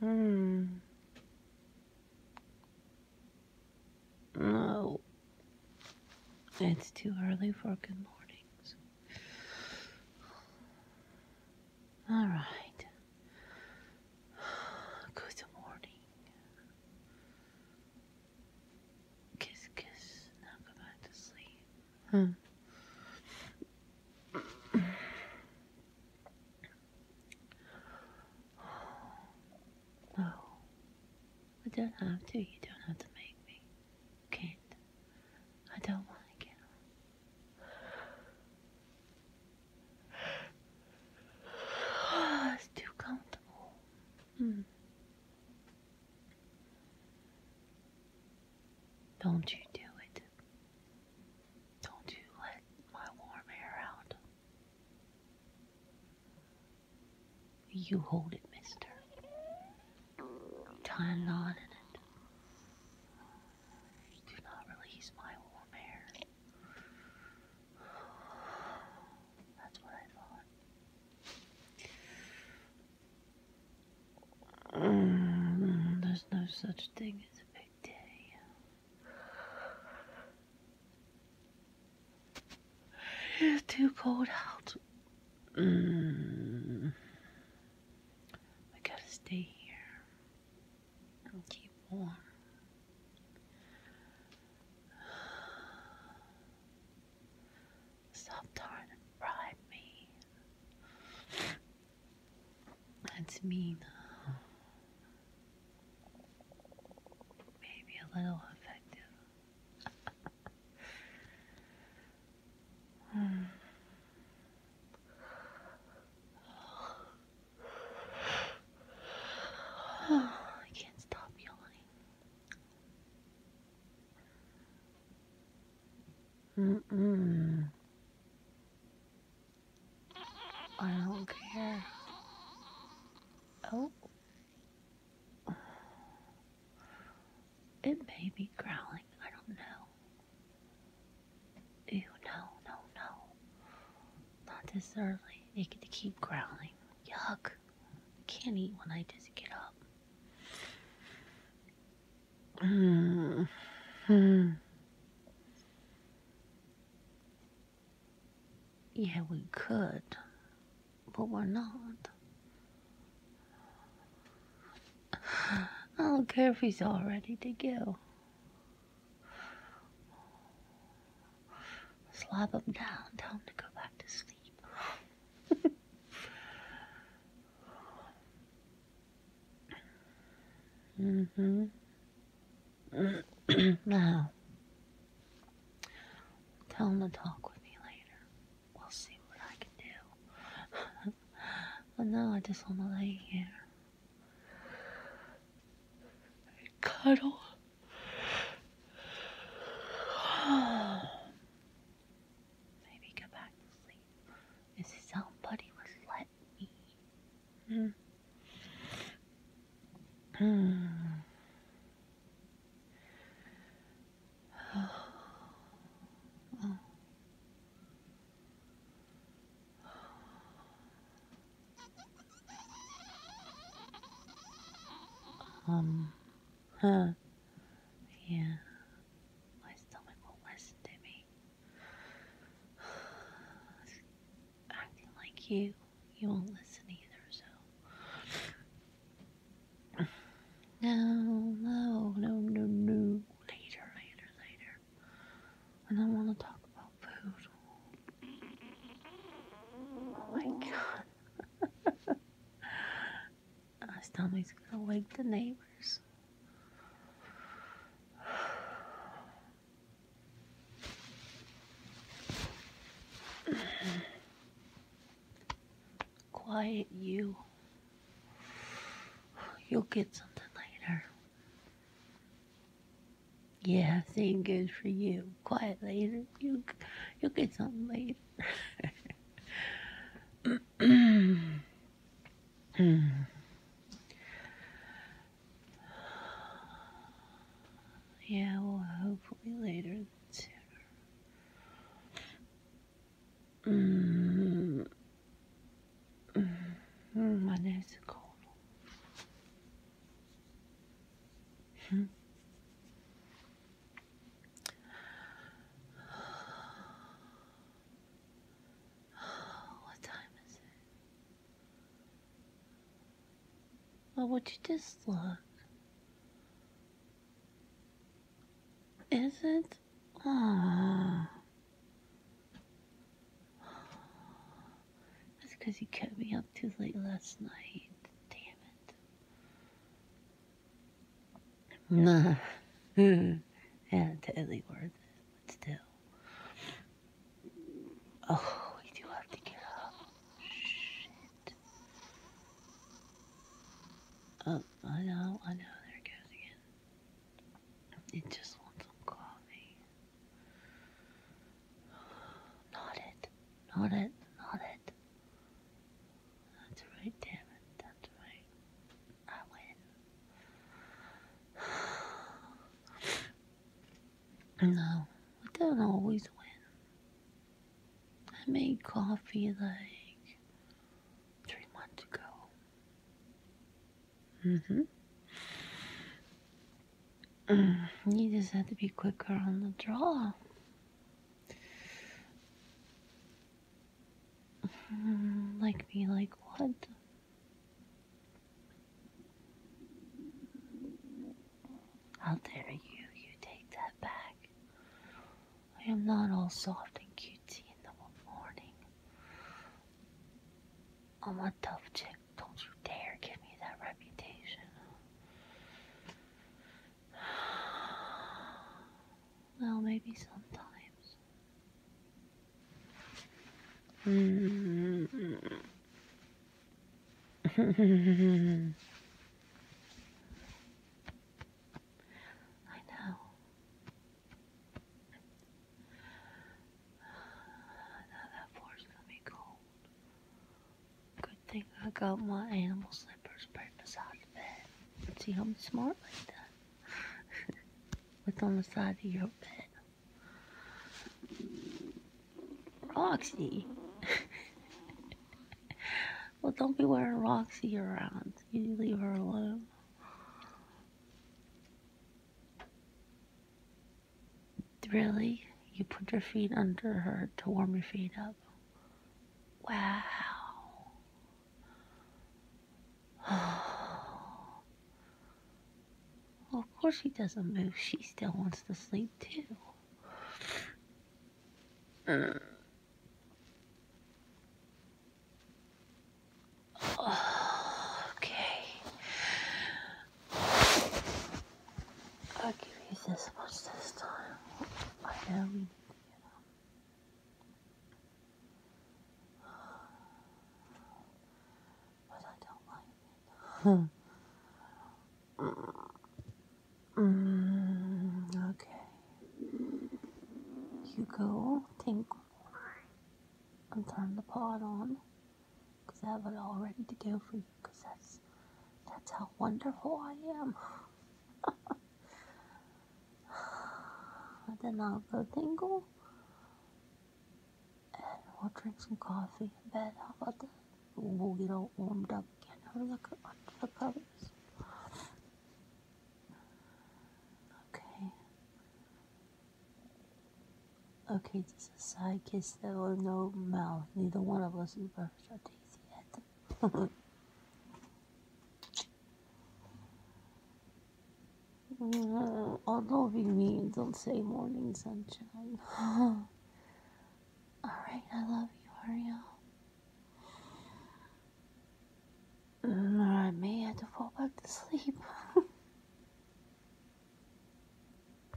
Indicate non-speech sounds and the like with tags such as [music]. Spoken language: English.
Hmm. No. It's too early for good mornings. All right. [sighs] Good morning. Kiss, kiss. Now go back to sleep. Hmm. I [sighs] oh. don't have to. You don't have to make me. Kate, I don't want to get up. it's too comfortable. Hmm. Don't you do it. Don't you let my warm air out. You hold it, mister. Tie a knot in it. Do not release my warm air. That's what I thought. Mm, there's no such thing as a big day. It's too cold out. Mm. I gotta stay here and keep warm. Stop trying to bribe me. That's mean. Maybe a little effective. [sighs] I can't stop yawning. Mm -mm. I don't care. Oh. It may be growling, I don't know. no, no, no. Not this early. It could keep growling. Yuck. can't eat when I just get up. Mm. Hmm. hmm. Yeah, we could, but we're not. I don't care if he's all ready to go. Slap him down, tell him to go back to sleep. [laughs] mm hmm. [clears throat] now, tell him to talk with me later. We'll see what I can do. [laughs] but now I just want to lay here. Cuddle. [sighs] Maybe go back to sleep. If somebody would let me. Hmm. Mm. Oh. Oh. Um, huh. Yeah. My stomach won't listen to me acting like you, you won't listen either, so. No, no, no, no, no. Later, later, later. I don't want to talk about food. Oh my god. my stomach's gonna wake the neighbors. [sighs] Quiet you. You'll get something later. Yeah, same goes for you. Quiet later. You, you'll get something later. [laughs] [clears throat] Hmm. yeah, well, hopefully later than sooner. Mm. Hmm, my nose is cold. Hmm what time is it? Well, would you just look? Is it? Aww. Ah. That's because you kept me up too late last night. Damn it. Nah. [laughs] yeah, totally worth it, still. Oh, we do have to get up. Shit. Oh, I know, I know, there it goes again. It just wants some coffee. [sighs] Not it, not it, not it. That's right, damn it. That's right. I win. [sighs] no, we don't always win. I made coffee like three months ago. hmm You just have to be quicker on the draw. [sighs] Like me, like what? How dare you? You take that back. I am not all soft and cutesy in the morning. I'm a tough chick. Don't you dare give me that reputation. Well, maybe sometimes. [laughs] I know. Now that floor's gonna be cold. Good thing I got my animal slippers right beside the bed. See, I'm smart like that. [laughs] What's on the side of your bed? Roxy! [laughs] well, don't be wearing Roxy around. You leave her alone. Really? You put your feet under her to warm your feet up. Wow. [sighs] of course she doesn't move. She still wants to sleep too. [sighs] okay. I'll give you this much this time. I know But I don't like it. Hmm. mm, okay. You go tinkle and turn the pot on because I have it all ready to go for you because that's that's how wonderful I am. [sighs] then I'll go tingle and we'll drink some coffee in bed. How about that? We'll get all warmed up again. under the covers. Okay. Okay, just a side kiss though, no mouth. Neither one of us is perfect such easy head. all loving me say morning sunshine. [laughs] Alright, I love you, mm, hurry up. I may have to fall back to sleep. [laughs]